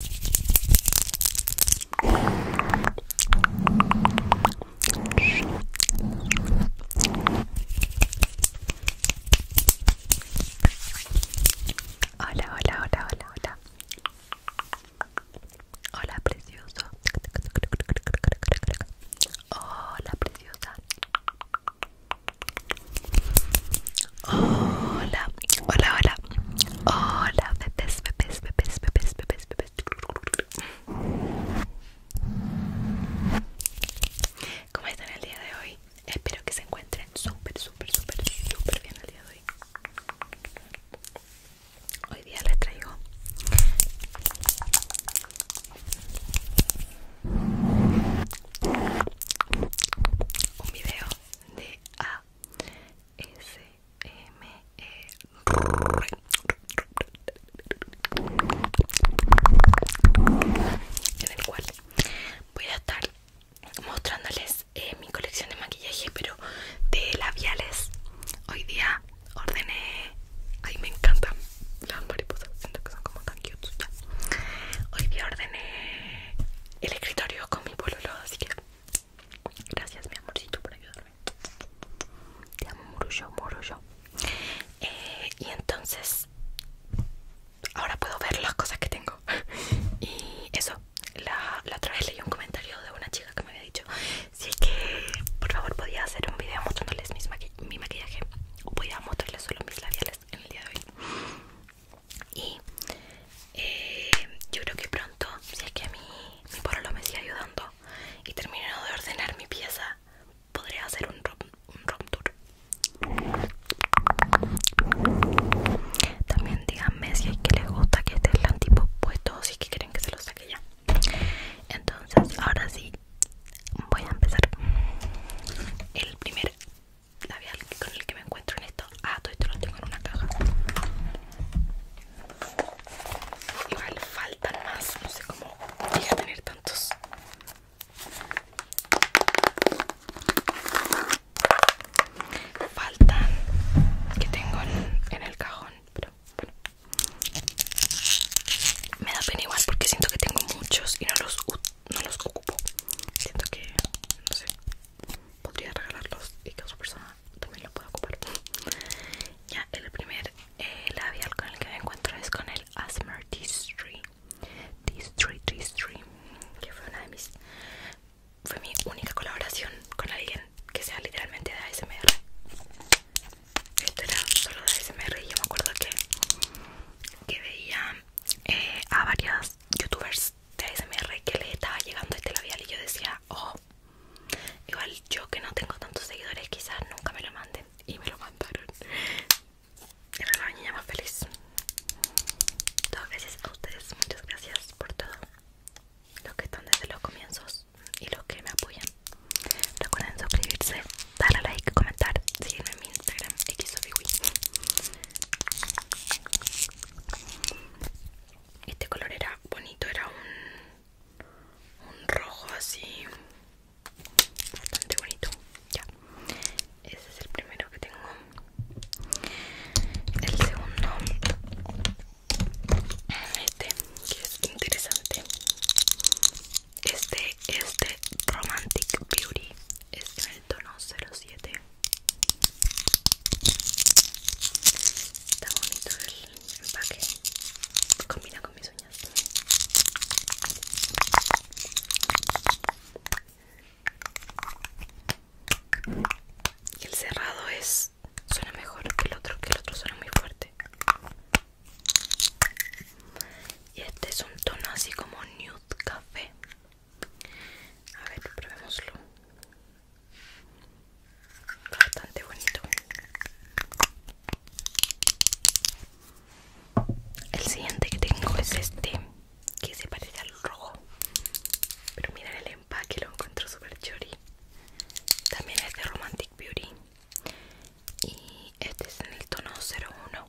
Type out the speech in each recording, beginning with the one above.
Hola, hola, hola, hola, hola. Hola, precioso. Hola, preciosa. Hola, hola, hola, hola, bebés, bebés, bebés, bebés, bebés, bebés. ¿Cómo están el día de hoy? Espero que se encuentren súper, súper, súper, súper bien el día de hoy. Hoy día les traigo un video de A S.M.E. en el cual voy a estar mostrándoles eh, mi colección de maquillaje pero de labiales hoy día ordené ay me encantan las mariposas siento que son como tan cute hoy día ordené el escritorio con mi pololo así que Gracias mi amorcito por ayudarme. Te amo eh, y entonces ahora puedo ver las cosas que tengo. y eso, la, otra vez leí un comentario de una chica que me había dicho si es que por favor podía hacer un video mostrándoles mi maquillaje o podía mostrarles solo mis labiales en el día de hoy y eh, yo creo que pronto, si es que mi mí mi me sigue ayudando y termino de ordenar mi pieza, podré hacer un rom, tour. También díganme si es que les gusta que esté el tipo puesto, si es que quieren que se lo saque ya. Entonces, ahora sí, voy a empezar el primer labial con el que me encuentro en esto. Ah, todo esto lo tengo en una caja. Igual faltan más, no sé cómo voy tener tantos. Faltan que tengo en, el cajón, pero bueno. Me da pena igual porque siento que tengo muchos y no los, no los ocupo. Siento que, no sé, podría regalarlos y que otra persona también lo pueda ocupar ya el primer eh, labial con el que me encuentro es con el Asmr T3 T3 que fue una de mis fue mi única colaboración con alguien que sea literalmente de ASMR esto era solo de ASMR y yo me acuerdo que que veía eh, a varias youtubers de ASMR que le estaba llegando este labial y yo decía, oh, igual yo que no tengo tantos seguidores quizás nunca me lo manden y me lo mandaron. Era la niña más feliz. Todo gracias a ustedes, muchas gracias por todo. Los que están desde los comienzos y los que me apoyan. Recuerden suscribirse, darle like, comentar, seguirme en mi Instagram, XofiWi este color era bonito, era un, rojo así, bastante bonito. Ya, ese es el primero que tengo. El segundo, este que es interesante. Este es de Romantic Beauty, es en el tono 07. Está bonito el empaque. Combina con mis uñas. Y el cerrado es suena mejor que el otro, que el otro suena muy fuerte. Y este es un tono así como nude café. A ver, probémoslo. Bastante bonito. El siguiente que tengo es este, que se parece al rojo. Pero miren el empaque, lo encuentro súper chori. También es de Romantic Beauty. Y este es en el tono 01.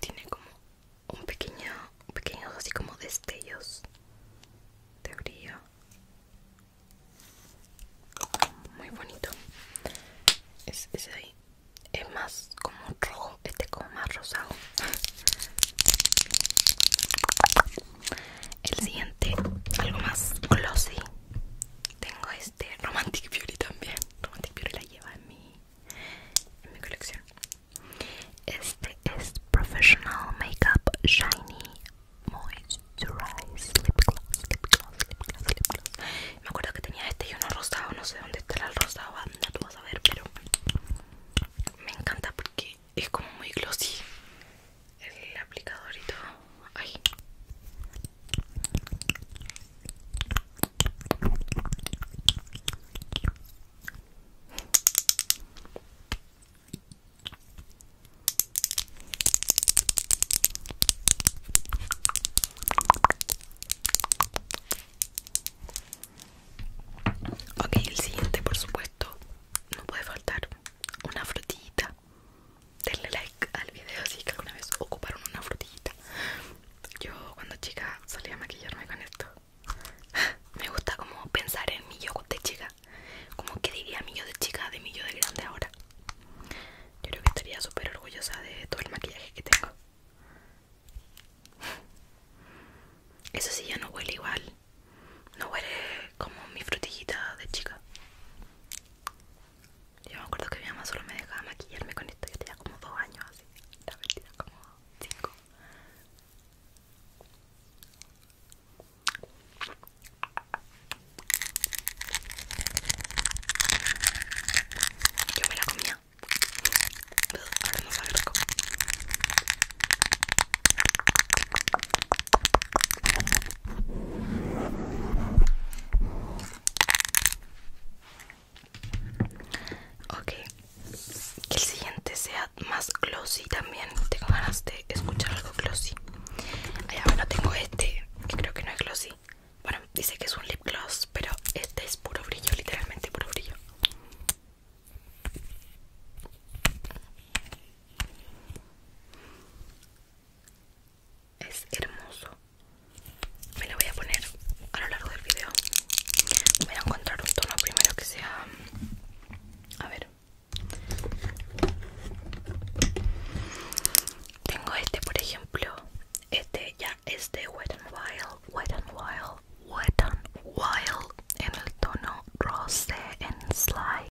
Tiene como un pequeño, pequeños así como destellos de brillo. Muy bonito. Es ese ahí. Es más como rojo, este como más rosado. El siguiente, algo más glossy. Tengo este Romantic Beauty también. Romantic Beauty la lleva en mi, colección. Este es Professional Makeup Shiny Moisturize Lip Gloss, Lip Gloss, Lip Gloss, Lip Gloss. Me acuerdo que tenía este y uno rosado. No sé dónde estará el rosado. Ah, no tú vas a ver, pero me encanta porque es como muy glossy el aplicadorito Ok, el siguiente por supuesto no puede faltar una frutita denle like al video si alguna vez ocuparon una frutillita yo cuando chica salía a maquillarme con esto me gusta como pensar en mi yo de chica como que diría mi yo de chica de mi yo de grande ahora yo creo que estaría súper orgullosa de todo el maquillaje que tengo eso sí ya no huele igual no huele como mi frutillita de chica yo me acuerdo que mi mamá solo me dejaba maquillarme con esto, yo tenía como dos años así, la mentira como cinco. Yo me la comía. Ahora no sabe cómo Ok, que el siguiente sea más glossy también. Tengo ganas de escuchar algo glossy. Ahí bueno, tengo este que creo que no es glossy. Bueno, dice que es un lip gloss, pero este es puro brillo, literalmente puro brillo. Es hermoso. Me lo voy a poner a lo largo del video. Voy a encontrar un tono primero que sea... A ver. Tengo este, por ejemplo. Este ya es de Wet n Wild. Wet n Wild. Wet n Wild. En el tono Rose and Slide.